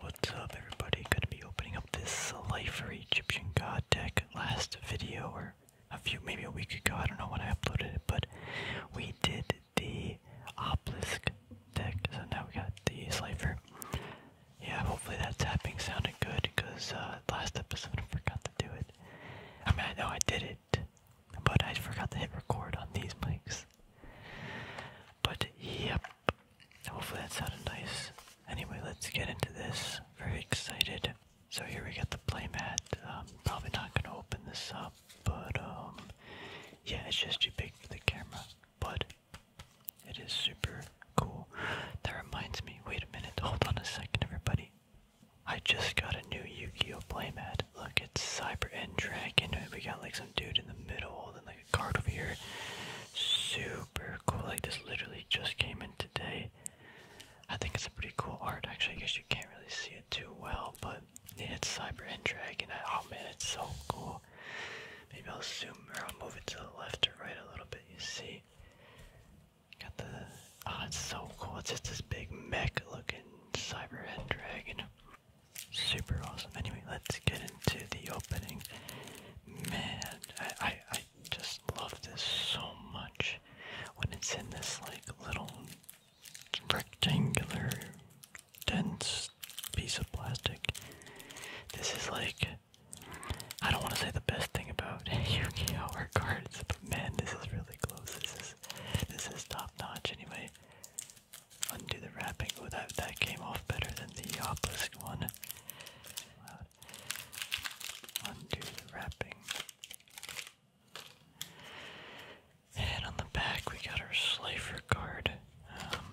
What's up, everybody? Going to be opening up this Life Slifer Egyptian God deck. Last video, or a few, maybe a week ago, I don't know when I uploaded it, but we did the obelisk deck. So now we got the Slifer. Yeah, hopefully that tapping sounded good because uh, last episode I forgot to do it. I mean, I know I did it, but I forgot to hit record on these mics. But yep, hopefully that sounded nice. Anyway, let's get into this. Very excited. So here we got the playmat. Um, probably not gonna open this up but um, yeah, it's just too big for the camera, but it is super cool. That reminds me, wait a minute, hold on a second, everybody. I just got a new Yu-Gi-Oh playmat. Look, it's Cyber and Dragon. We got like some dude in the middle, and like a card over here. Super cool. Like this literally just came in today. I think it's a pretty cool art. Actually, I guess you can't really see it too well, but it's Cyber and Dragon. Oh man, it's so cool. Maybe I'll zoom or I'll move it to the left or right a little bit. You see, got the oh, it's so cool. It's just this big mech looking Cyber and Dragon. Super awesome. Anyway, let's get into the opening. Man, I, I I just love this so much. When it's in this like little rectangular, dense piece of plastic. This is like, I don't want to say the best thing about Yu-Gi-Oh! cards, but man, this is really close. This is, this is top notch anyway. Undo the wrapping. Oh, that, that came off better than the obelisk one. Undo the wrapping. And on the back, we got our Slifer card. Um,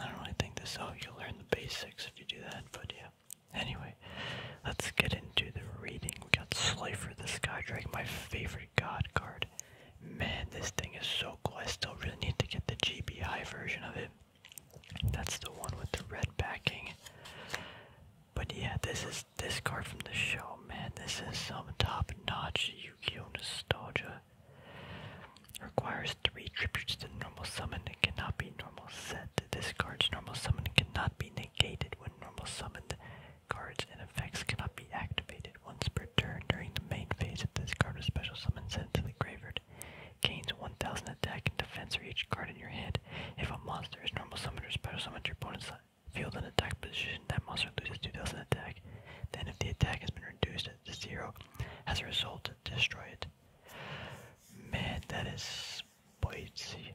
I don't really think this out. Oh, you learn the basics if you do that, but yeah. Anyway, let's get into the reading. We got Slifer the Sky Dragon, my favorite god card. Man, this thing is so cool. I still really need to get the GBI version of it. That's the one with the red backing. But yeah, this is this card from the show, man. This is some top-notch yu Nostalgia. Requires three tributes to normal summon and cannot be normal set. This card's normal summon cannot be negated when normal summoned cards and effects cannot be activated once per turn during the main phase if this card was special summoned sent to the graveyard. Gains 1000 attack and defense for each card in your hand. If a monster is normal summoned or special summoned, your opponent's field an attack position, that monster loses 2000 attack. Then, if the attack has been reduced to zero, as a result, destroy it. Man, that is spicy.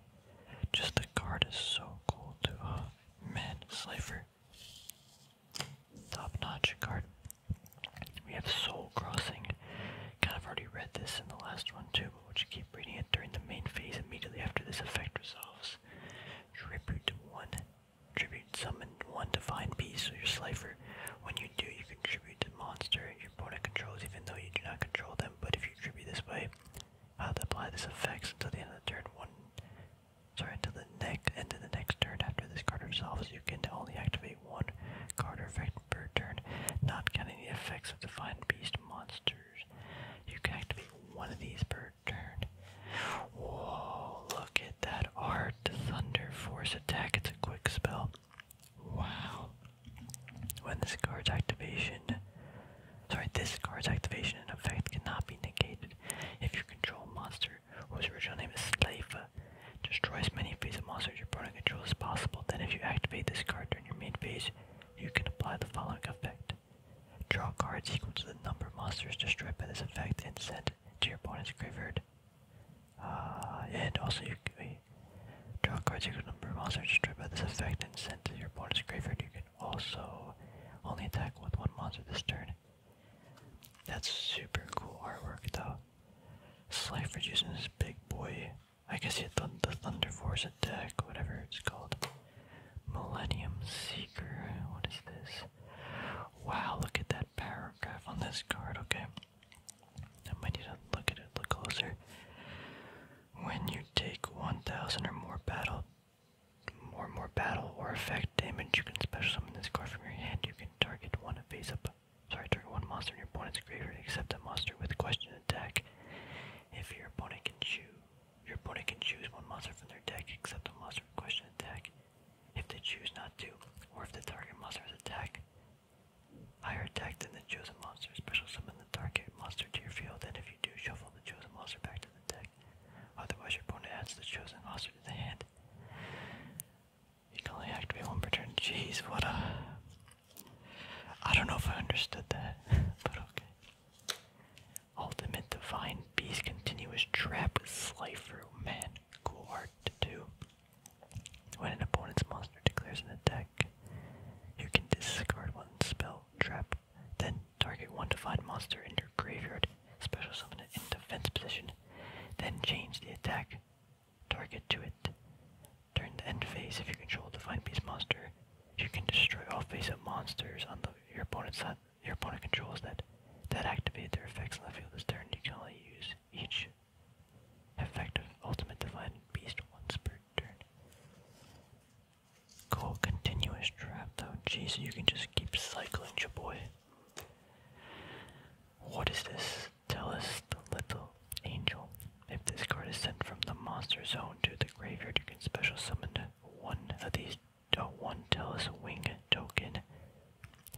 Just the card is so cool, too. Oh, man, Slifer. Top notch card. We have Soul Crossing. Kind of already read this in the last one, too, but would you keep reading it during the main phase immediately after this effect resolves. Tribute one. Tribute summon one divine beast or your slifer. When you do, you contribute tribute the monster and your opponent controls, even though you do not control them. But if you tribute this way, have to apply this effects until the end of the turn one. Sorry, until the next end the next turn after this card resolves, you can only activate one card effect per turn, not counting the effects of divine beast monsters. You can activate one of these per turn. Whoa, look at that art. Thunder Force attack. It's a quick spell. Wow. When this card's activation. Sorry, this card's activation and effect cannot be negated if your control monster, whose original name is Slaifa, destroy many phase of monsters your opponent controls as possible. Then, if you activate this card during your main phase, you can apply the following effect. Draw cards equal to the number of monsters destroyed by this effect and sent to your opponent's graveyard. Uh, and also you can draw cards equal to the number of monsters destroyed by this effect and sent to your opponent's graveyard. You can also only attack with one monster this turn. That's super cool artwork though. Slife using this big boy. I guess he had th the Thunder Force attack, whatever it's called. Millennium Seeker. What is this? Wow, look at that paragraph on this card. Okay. I might need to look at it a little closer. When you take 1,000 or more battle or more battle or effect damage, you can special summon this card from your hand. You can target one face up sorry, target one monster in your opponent's graveyard except a monster with question attack. If your opponent can choose your opponent can choose one monster from their deck, except the monster in question attack, if they choose not to, or if the target monster is attacked. Higher attack than the chosen monster. Special summon the target monster to your field, and if you do, shuffle the chosen monster back to the deck. Otherwise, your opponent adds the chosen monster to the hand. You can only activate one per turn. Jeez, what a. I don't know if I understood that, but okay. Ultimate Divine Beast Continuous Trap Slifer. Man, cool art to do. When an opponent's monster declares an attack, you can discard one spell trap, then target one divine monster in your graveyard, special summon it in defense position, then change the attack target to it. Turn the end phase, if you control the divine beast monster, you can destroy all face-up monsters on the, your opponent's side. Your opponent controls that that activate their effects on the field this turn. You can only use each effect of ultimate divine beast once per turn. Cool, continuous trap though. Jeez, you can just keep cycling, your boy. What is this? Tell us the little angel. If this card is sent from the monster zone to the graveyard, you can special summon one of these a one Telus wing token.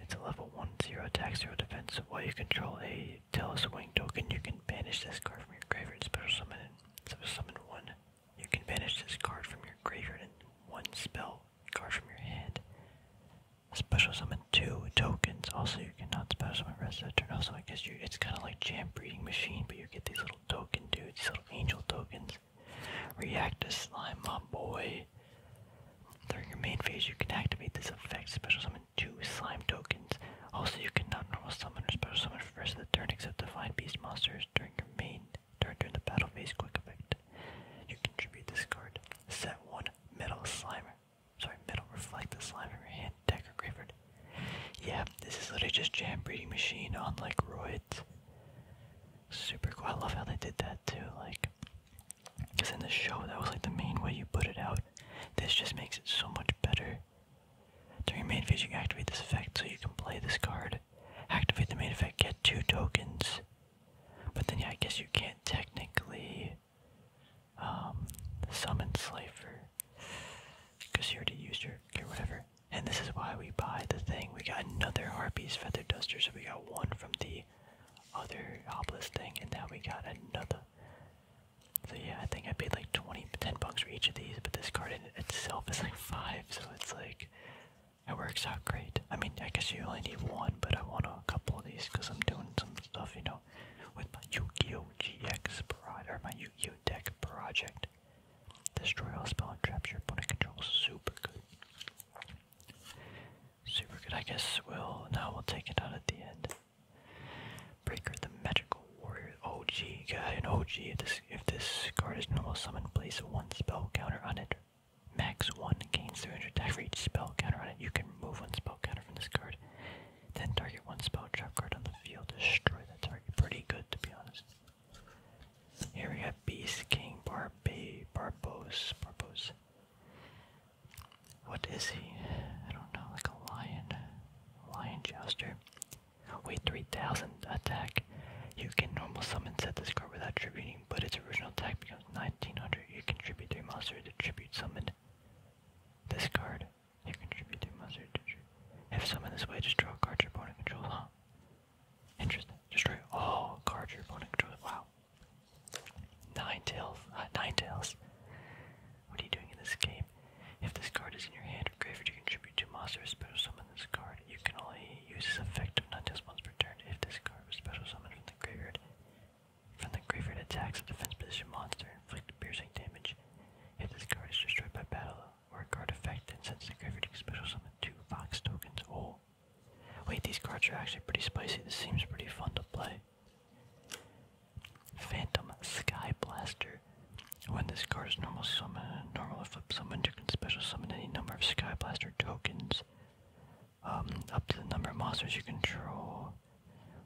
It's a level 1 0 attack 0 defense. while you control a Telus wing token, you can banish this card from your graveyard special summon so summon one. You can banish this card from your graveyard and one spell card from your hand. Special summon two tokens. Also, you cannot special summon rest of turn. Also, I guess you it's kind of like Jam Breeding Machine, but you get these little token dude. these little angel tokens. React to slime, my boy. During your main phase, you can activate this effect, special summon two slime tokens. Also, you cannot normal summon or special summon for the rest of the turn except divine beast monsters during your main turn during the battle phase quick effect. You contribute this card. Set one metal slimer. Sorry, metal reflect the slimer from your graveyard yeah, this is literally just jam breeding machine on like roids. Super cool. I love how they did that too. Like, because in the show that was like the main way you put it out. This just makes it so much better. During main phase, you activate this effect so you can play this card. Activate the main effect, get two tokens. But then, yeah, I guess you can't technically um, summon Slifer because you already used your, okay, whatever. And this is why we buy the thing. We got another Harpies feather duster, so we got one from the other obelisk thing, and now we got another. So yeah, I think I paid like 20, 10 bucks for each of these, but this card in itself is like five, so it's like it works out great. I mean, I guess you only need one, but I want a couple of these because I'm doing some stuff, you know, with my Yu-Gi-Oh! GX project or my Yu-Gi-Oh! deck project. Destroy all spell and traps your opponent controls. Super good. Super good. I guess we'll now we'll take it out at the end. Breaker the magical warrior OG guy an OG if this card is normal summon place one spell counter on it. Max one gains 300 attack for each spell counter on it. You can remove one spell counter from this card. Then target one spell trap card on the field. Destroy that target. Pretty good to be honest. Here we have Beast King Barbe Barbos Barbos. What is he? I don't know, like a lion. Lion Jouster. Wait, 3000 attack. You can normal summon set this card without tributing, but its original attack becomes 1900. You contribute 3 monsters to tribute summon this card. You contribute to monster injury. If summoned this way, just draw a card your opponent controls, huh? Interesting. Destroy all cards your opponent controls. Wow. Nine tails. Uh, nine tails. What are you doing in this game? If this card is in your hand or graveyard, you contribute two monsters. Special summon this card. You can only use this effect of nine tails once per turn. If this card was special summoned from the graveyard, from the graveyard attacks a defense position monster, inflict piercing damage. If this card is destroyed by battle, or effect and sends the graveyard special summon two box tokens. Oh. Wait, these cards are actually pretty spicy. This seems pretty fun to play. Phantom Sky Blaster. When this card is normal summon, normal flip summon, you can special summon any number of Sky Blaster tokens. Um, up to the number of monsters you control.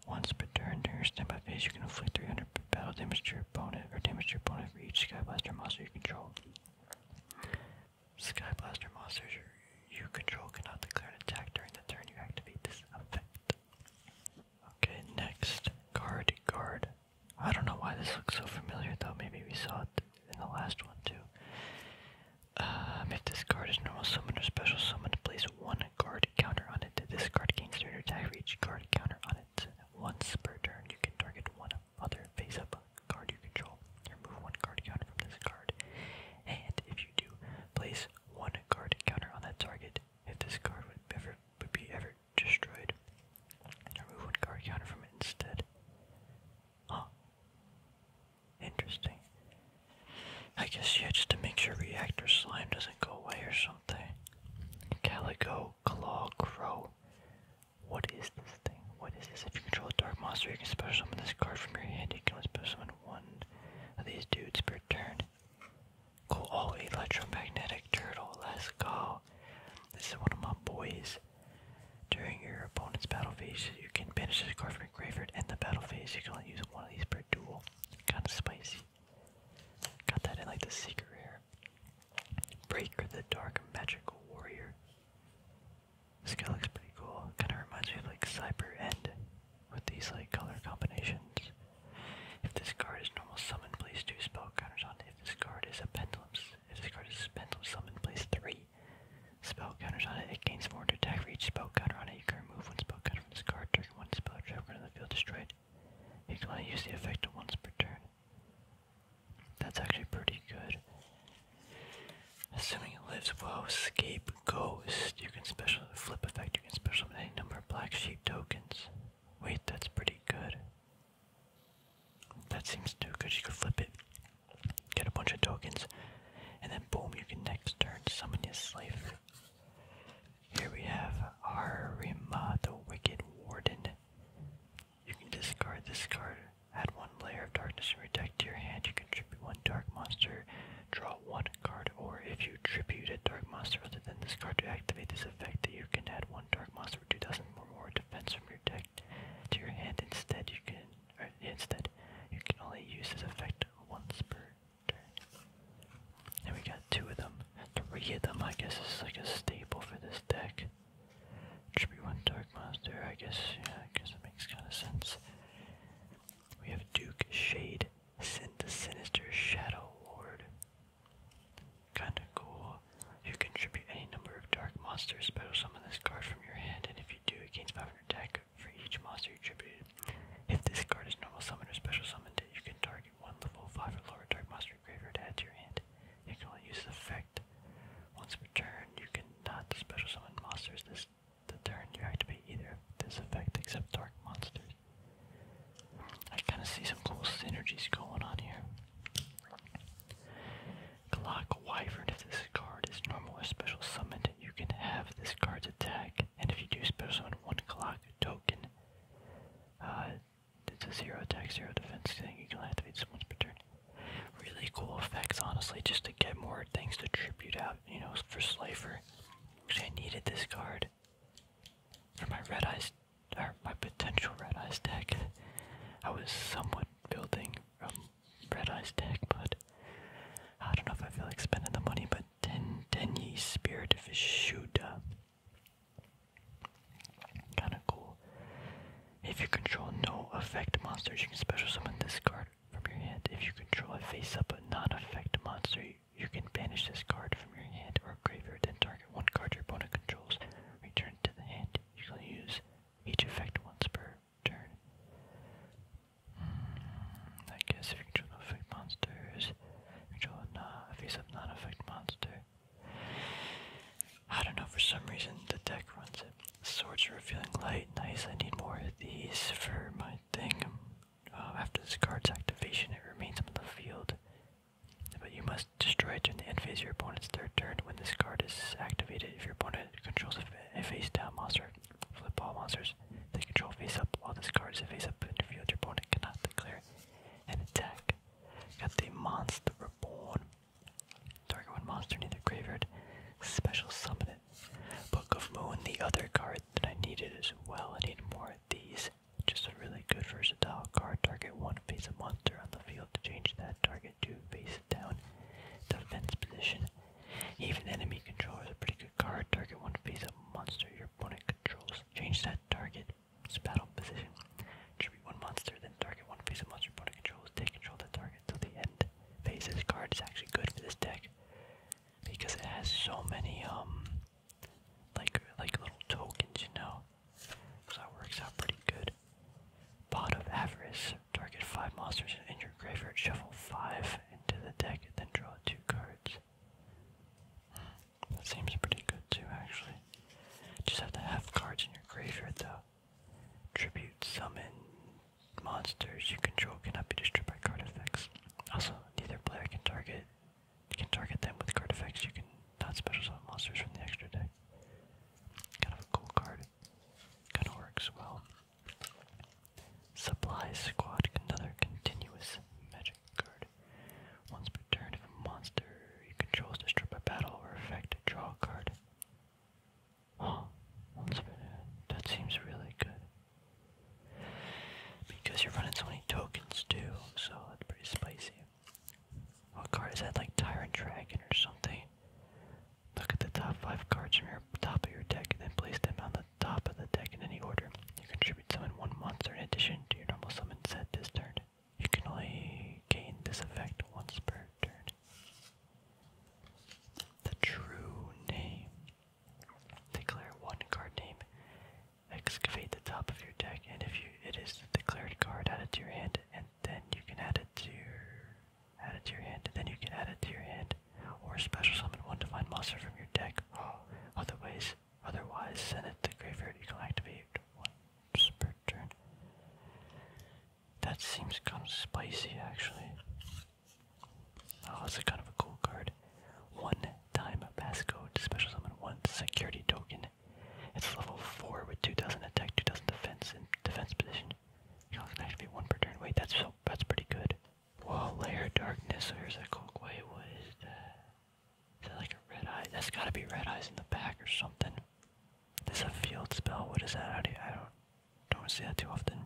Once per turn during your standby phase, you can inflict 300 battle damage to your opponent, or damage to your opponent Reach Skyblaster Sky monster you control. Skyblaster monsters you control cannot declare an attack during the turn you activate this effect. Okay, next, Guard Guard. I don't know why this looks so familiar though, maybe we saw it in the last one too. if uh, this card is normal summon or special summon, place one guard counter on it. This card gains 300 attack reach guard counter on it once per turn you can target one other face up card you control. Remove one card counter from this card. And if you do, place one card counter on that target. If this card would ever would be ever destroyed. Remove one card counter from it instead. Huh. Interesting. I guess yeah, just to make sure reactor slime doesn't go away or something. Calico Claw Crow. What is this thing? What is this? If you control a dark monster, you can special summon this card from your hand. You can only special summon one of these dudes per turn. Cool. Oh, electromagnetic turtle. Let's go. This is one of my boys. During your opponent's battle phase, you can banish this card from your graveyard and the battle phase. You can only use one of these per duel. Kind of spicy. Got that in like the secret rare. Breaker the Dark Magical Warrior. This guy looks pretty cool. Kinda reminds me of like Cyber End with these like color combinations. If this card is normal summon, place two spell counters on it. If this card is a pendulum if this card is a pendulum summon, place three spell counters on it. It gains more attack for each spell counter on it. You can remove one spell counter from this card, during one spell trap into the field is destroyed. You can only use the effect once per turn. That's actually pretty good. Assuming it lives well, Scape Ghost. You can special flip effect, you can special any number of black sheep tokens. Wait, that's pretty good. That seems too good. You can flip it, get a bunch of tokens, and then boom, you can next turn summon your slave. Here we have Arima, the Wicked Warden. You can discard this card. Add one layer of darkness and redact to your hand. You can tribute one dark monster, draw one card, or if you tribute a dark monster other than this card to activate this effect, you can add one dark monster with 2000 or more defense from your deck to your hand. Instead, you can instead you can only use this effect once per turn. And we got two of them. To re of them, I guess, is like a staple for this deck. Tribute one Dark Monster, I guess, yeah, I guess it makes kind of sense. We have Duke Shade, Sin the Sinister Shadow Ward. Kinda cool. You can contribute any number of Dark Monsters, special summon this card from your hand, and if you do, it gains 500 attack for each monster you tributed. If this card is normal summon or special summoned, you can target one level 5 or lower Dark Monster your add to your hand. You can only use the effect once per turn. You cannot special summon monsters this turn you activate either this effect except dark monsters. I kind of see some cool synergies going on here. Clock Wyvern. If this card is normal or special summoned, you can have this card's attack, and if you do special summon one clock token, uh, it's a zero attack, zero defense thing. You are gonna have to beat someone's turn. Really cool effects, honestly, just to get more things to tribute out, you know, for Slifer. Actually, I needed this card for my Red Eyes, or my potential Red Eyes deck. I was somewhat building um, Red Eyes deck, but I don't know if I feel like spending the money, but 10, 10 Ye Spirit of Ishuda. Kinda cool. If you control no effect monsters, you can special summon this card from your hand. If you control a face up non effect monster, you can banish this card from your hand or graveyard and target one card your opponent controls. Return to the hand. You can use each effect once per turn. Hmm, I guess if you control no effect monsters, Control nah, if he's non-effect monster. I don't know, for some reason the deck runs it. Swords are revealing light, nice, I need more of these for my thing. Um, after this card's activation, it remains on the field. But you must destroy it during the end phase of your opponent's third turn when this card is activated. If your opponent controls a, face down monster, flip all monsters, they control face up while this card is a face up in your field. Your opponent cannot declare and attack. Got the Monster Reborn. Target one monster near the graveyard. Special summon it. Book of Moon, the other card that I needed as well. I need more of these. Just a really good versatile card. Target one face a monster on the field to change that target to face it down. Defense position. Even enemy controller is a pretty good card. Target one face a monster your opponent controls. Change that target it's battle position. Tribute one monster, then target one face of monster opponent controls. Take control of the target till the end phase. card is actually good for this deck because it has so many um like like little tokens, you know. So it works out pretty good. Pot of Avarice. Target five monsters in your graveyard. Shuffle five into the deck, then draw two cards. Hmm. That seems pretty good too, actually. Just have to have cards in your graveyard, though. Tribute, summon monsters you control cannot be destroyed by card effects. Also, neither player can target you can target them with card effects. You can not special summon monsters from the extra deck. Kind of a cool card. Kind of works well. Supply Squad, another continuous magic. Once per turn, monster you control is destroyed by battle or effect, draw card. Oh, That seems really good. Because you're running so many tokens too, so it's pretty spicy. What card is that? Like Tyrant Dragon or something? Look at the top five cards from your top of your deck and then place them on the top of the deck in any order. You can summon one monster in addition to your normal summon set this turn. You can only gain this effect once per turn. The true name. Declare one card name. Excavate the top of your deck, and if you it is the declared card, add it to your hand, and then you can add it to add it to your hand, and then you can add it to your hand, or special summon one divine monster from your deck. Otherwise, Otherwise, send it to the graveyard. You can activate one per turn. That seems kind of spicy, actually. Oh, that's a kind of a cool card. One time passcode, special summon one security token. It's level 4 with 2000 attack, 2000 defense, and defense position. You can activate one per turn. Wait, that's so, that's pretty good. Whoa, Layer Darkness, there's a cool way. What is that? Is that like a red eye? That's gotta be red eyes in the back or something. This a field spell. What is that? I don't don't see that too often.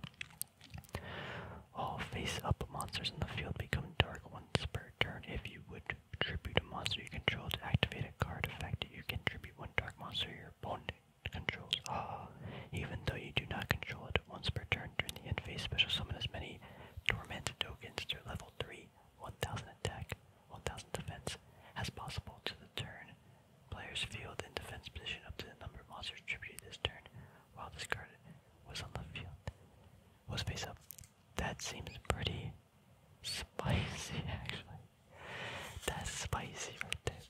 All face-up monsters in the field become dark once per turn. If you would tribute a monster you control to activate a card effect, you can tribute one dark monster your opponent controls. Ah, even though you do not control it, once per turn during the end phase. Special summon as many torment tokens to level 3, 1000 attack, 1000 defense as possible to the turn. Players field in defense position up to the number of monsters attributed this turn while discarded was on the field. Was face up. That seems pretty spicy actually. That's spicy right there.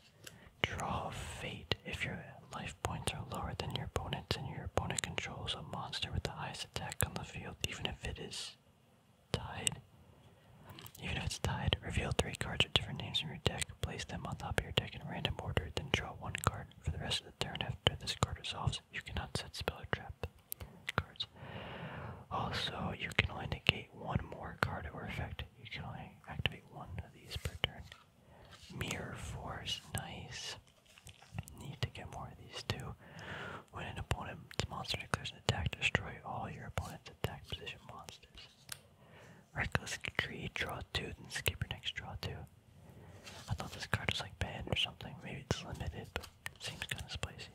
Draw fate. If your life points are lower than your opponent's, and your opponent controls a monster with the highest attack on the field, even if it is tied. Even if it's tied, reveal three cards with different names from your deck, place them on top of your deck in random order, then draw one card. For the rest of the turn after this card resolves, you cannot set spell or trap cards. Also, you can only negate one more card or effect. You can only activate one of these per turn. Mirror Force, nice. Need to get more of these two. When an opponent's monster declares an attack, destroy all your opponent's attack position monsters. Reckless Creed, draw two, then skip your next draw two. I thought this card was like banned or something. Maybe it's limited, but seems kind of spicy.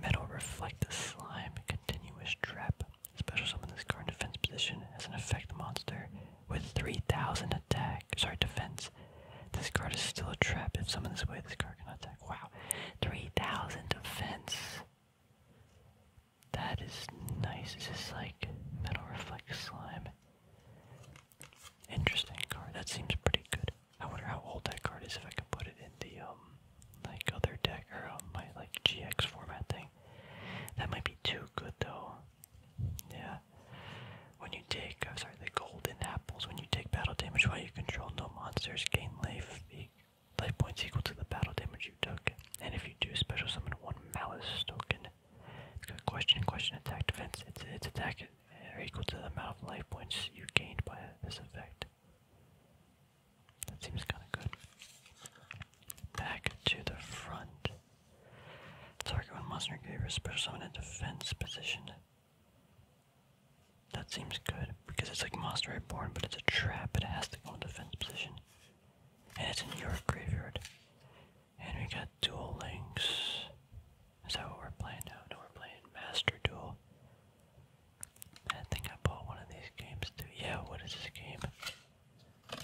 Metal Reflect the Slime, Continuous Trap. Special summon this card in defense position as an effect monster with 3000 attack, sorry, defense. This card is still a trap. If someone is away, this card can attack. Wow. 3,000 defense. That is nice. Is this like Metal Reflect Slime? Interesting card. That seems pretty good. I wonder how old that card is if I could put it in the, um, like other deck or um, my like GX format thing. That might be too good though. Yeah. When you take, uh, sorry, the golden apples. When you take battle damage while you control no monsters, gain life, life points equal to the battle damage you took. And if you do, special summon one malice token. It's got question, question, attack, defense. It's its attack or uh, equal to the amount of life points you gained by this effect. That seems kind of good. Back to the front. Target when monster gave a special summon in defense position. That seems good because it's like Monster Reborn, but it's a trap. It has to go in defense position, and it's in your graveyard. And we got Dual Links. Is that what we're playing now? No, we're playing Master Duel. I think I bought one of these games too. Yeah, what is this game?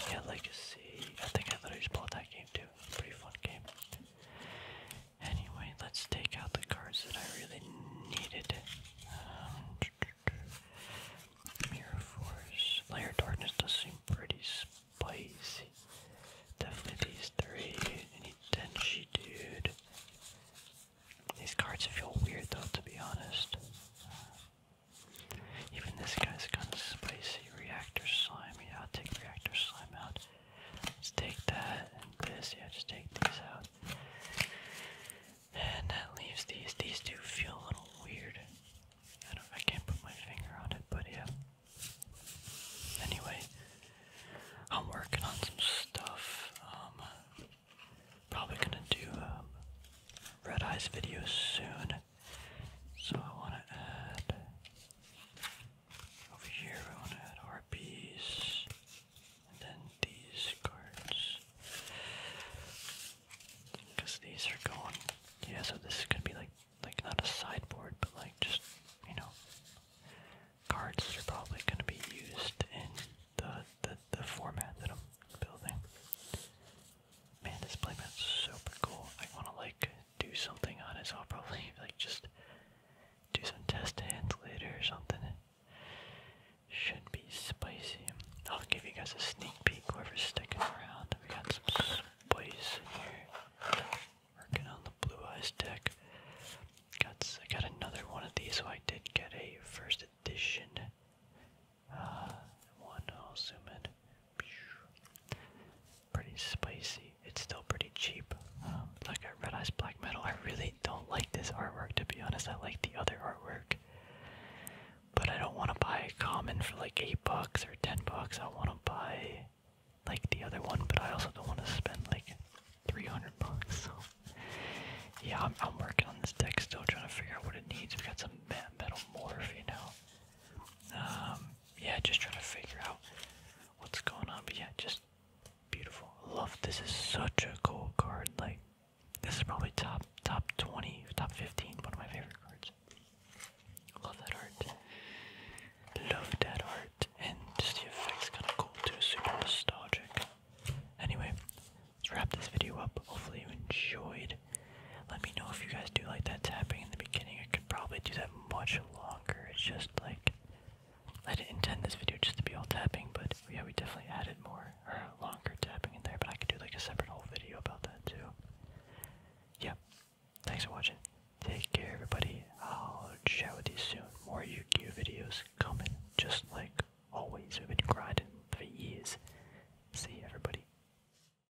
Yeah, Legacy. I think I thought I just bought that game too. Pretty fun game. Anyway, let's take out the cards that I really needed. Um, Mirror Force. Layer Darkness does seem pretty spicy. Definitely these three. Any Denshi, dude. These cards feel weird though, to be honest. Uh, even this guy's kind of spicy reactor slime. I'll take reactor slime out. Let's take that and this. Yeah, just take these out. And that leaves these. These do feel a little weird. I don't. I can't put my finger on it, but yeah. Anyway, I'm working on some stuff. Um, probably gonna do um, red eyes video soon. So I want to add over here. I want to add RPs and then these cards because these are going. Yeah, so this is gonna be like like not a sideboard, but like just you know cards that are probably gonna be used in the the, the format that I'm building. Man, this playmat's super cool. I wanna like do something on it, so I'll probably like just do some test hands later or something. Should be spicy. I'll give you guys a sneak peek. Whoever's sticking around, we got some boys here. Working on the Blue Eyes deck. Got I got another one of these, so I did get a first edition. Uh, one. I'll zoom in. Pretty spicy. It's still pretty cheap. Um, like a Red Eyes Black Metal, I really don't like this artwork to be honest. I like the other artwork. But I don't want to buy a common for like 8 bucks or 10 bucks. I want to buy like the other one, but I also don't want to spend like 300 bucks. So yeah, I'm, working on this deck still, trying to figure out what it needs. We got some metal morph, you know. Um, yeah, just trying to figure out what's going on. But yeah, just beautiful. Love this is such a cool card. Like this is probably top top twenty, top fifteen, one of my favorite cards. Love that art. Love that art. And just the effects kinda cool too, super nostalgic. Anyway, let's wrap this video up. Hopefully you enjoyed. Let me know if you guys do like that tapping in the beginning. I could probably do that much longer. It's just like I didn't intend this video just to be all tapping, but yeah, we definitely added more or longer tapping in there. But I could do like a separate whole video about that too. Yep. Thanks for watching. Take care, everybody. I'll chat with you soon. More yu videos coming, just like always. We've been grinding for years. See everybody.